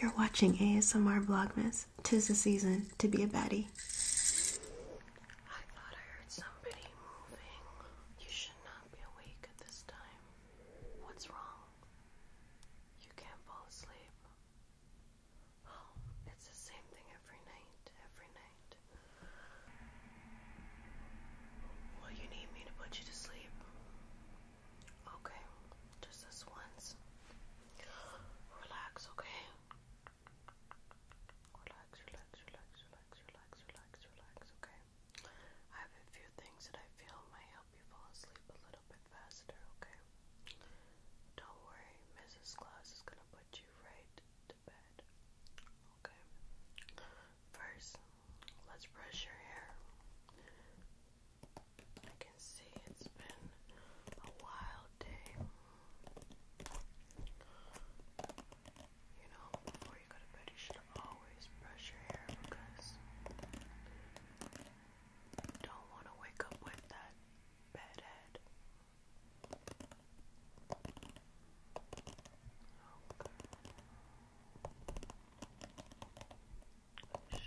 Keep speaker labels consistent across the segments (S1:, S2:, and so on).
S1: You're watching ASMR Vlogmas. Tis the season to be a baddie. I thought I heard somebody moving. You should not be awake at this time. What's wrong? You can't fall asleep. Oh, it's the same thing every night, every night. Well, you need me to put you to sleep. Okay, just this once. Relax, okay? Relax, relax, relax, relax, relax, relax, relax, okay? I have a few things that I feel might help you fall asleep a little bit faster, okay? Don't worry, Mrs. Claus is gonna put you right to bed, okay? First, let's brush your hair. I can see it's been a wild day. You know, before you go to bed, you should always brush your hair because don't want to wake up with that bad head. Okay. Oh, Okay.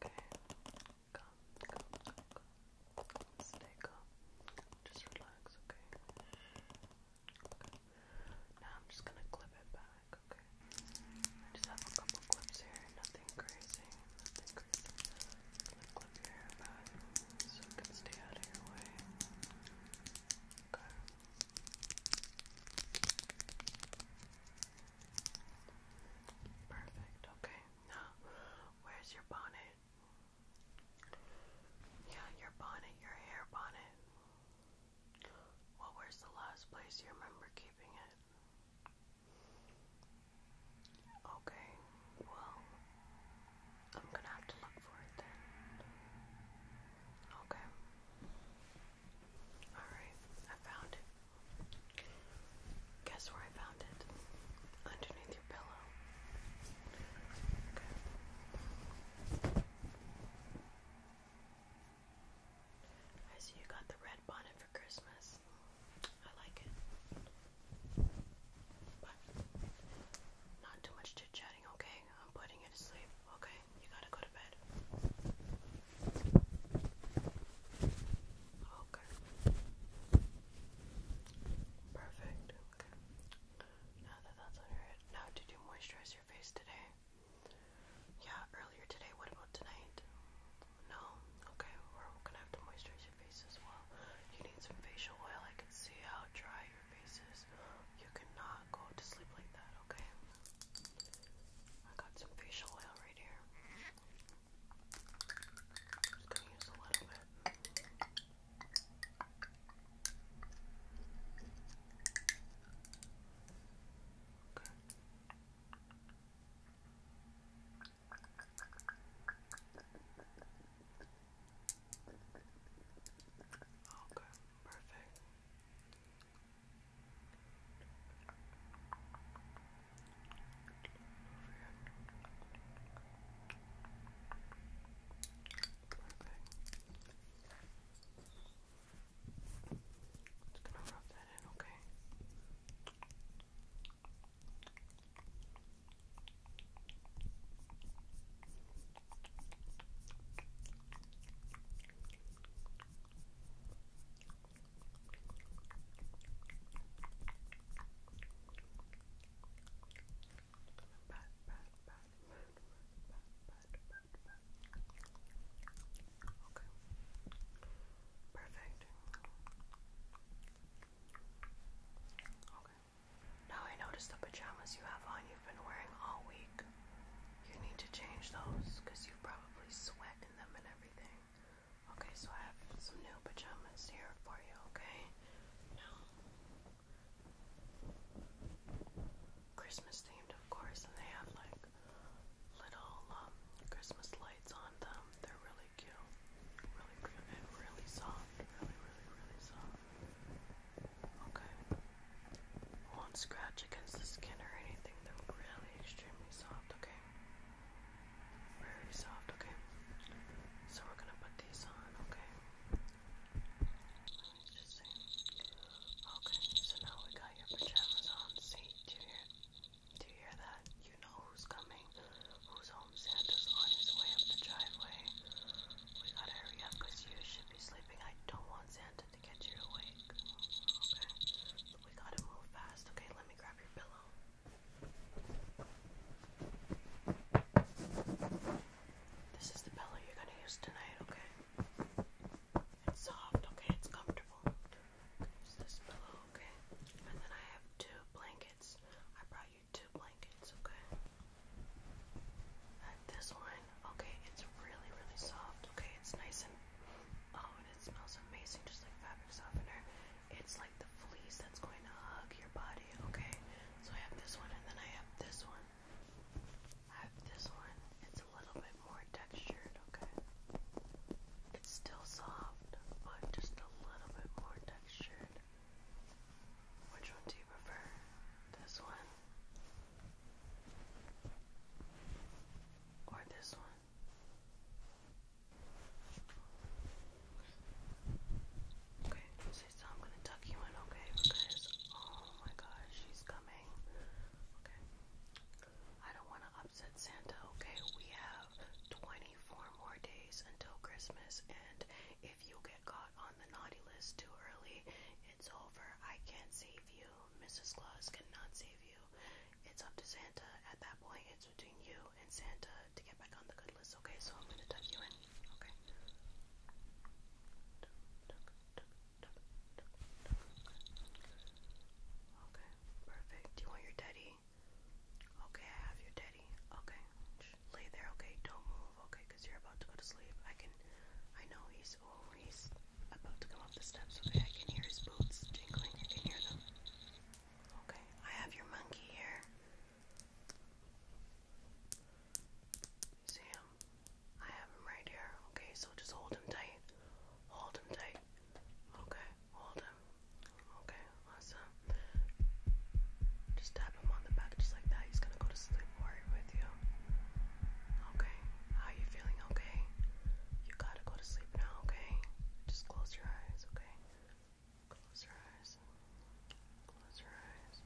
S1: Come, come, come, come. Stay calm. Just relax, okay? Okay. Now I'm just gonna clip it back, okay? I just have a couple clips here, nothing crazy, nothing clip, your hair back so it can stay out of your way. Okay. Perfect, okay. Now, where's your bonnet? Yeah, your bonnet, your hair bonnet. Well, where's the last place you remember keeping it? Okay, well, I'm gonna have to look for it then. Okay. Alright, I found it. Guess where I found it? Underneath your pillow. Okay. I see you got the red bonnet for Christmas. I like it not too much chit chatting, okay? I'm putting you to sleep, okay? You gotta go to bed. Okay. Perfect. Okay. Now that that's on your now did you moisturize your face today? Yeah, earlier today. What about tonight? No? Okay, we're gonna have to moisturize face as well. You need some facial oil. I can see how dry your face is. You cannot go to sleep like that, okay? I got some facial oil right here. just gonna use a little bit. Okay. Okay, perfect. Perfect. Just gonna rub that in, okay? Okay. Perfect. Okay. Now I noticed the pajamas you have on you've been wearing all week. You need to change those because you probably sweat in them and everything. Okay, so I have some new pajamas here for you, okay? Now, Christmas themed, of course, and they have like little um, Christmas lights on them. They're really really really really soft, Okay. Won't scratch against the skin or anything. They're really extremely soft, okay? Very soft, okay? So we're gonna put these on, okay? Okay, so now we got your pajamas on. See, do you hear, do you hear that? you know who's coming, who's home. Santa's on his way up the driveway. We gotta hurry up because you should be sleeping. I don't want Santa to get you awake. Okay? we gotta move fast. Okay, let me grab your pillow. This is the pillow you're gonna use tonight, okay? It's soft, okay? It's comfortable. Use this pillow, okay? And then I have two blankets. I brought you two blankets, okay? this one, okay, it's really, really soft, okay? It's nice and, oh, and it smells amazing, just like fabric softener. It's like the fleece that's going to hug your body, okay? So I have this one, and then I have this one. I have this one. It's a little bit more textured, okay? It's still soft, but just a little bit more textured. Which one do you prefer? This one? Or this one? Okay, so I'm gonna tuck you in, okay? Because, oh my gosh, she's coming. Okay. I don't wanna upset Santa, okay? We have 20 only four more days until Christmas, and if you get caught on the naughty list too early, it's over. I can't save you. Mrs. Claus cannot save you. It's up to Santa. At that point, it's between you and Santa to get back on the good list. Okay, so I'm gonna tuck you in. Okay. Okay, perfect. Do you want your daddy okay? I have your teddy. Okay, lay there. Okay, don't move. Okay, you're about to go to sleep. I can. I know he's. Oh, he's about to come up the steps. Okay, I can hear his boots jingling. I can hear them. Okay, I have your monkey here. See him? I have him right here. Okay, so just hold him tight. Hold him tight. Okay hold him. Okay, awesome. Just tap him on the back just like that. He's gonna go to sleep worry with you. Okay, how you feeling? Okay, you gotta go to sleep now. Okay, just close your eyes. Okay, close your eyes. Close your eyes.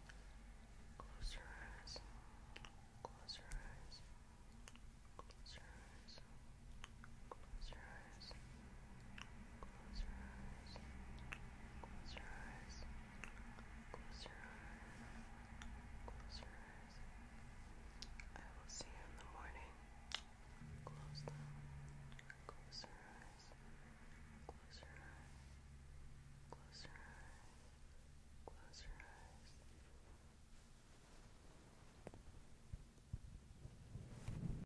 S1: Close your eyes. Close your eyes. Close your eyes. Close your eyes eyes. Close your eyes. Close your eyes. Close your eyes. Close your eyes. I will see you in the morning. Close them. Close your eyes. Close your eyes. Close your eyes. Close your eyes.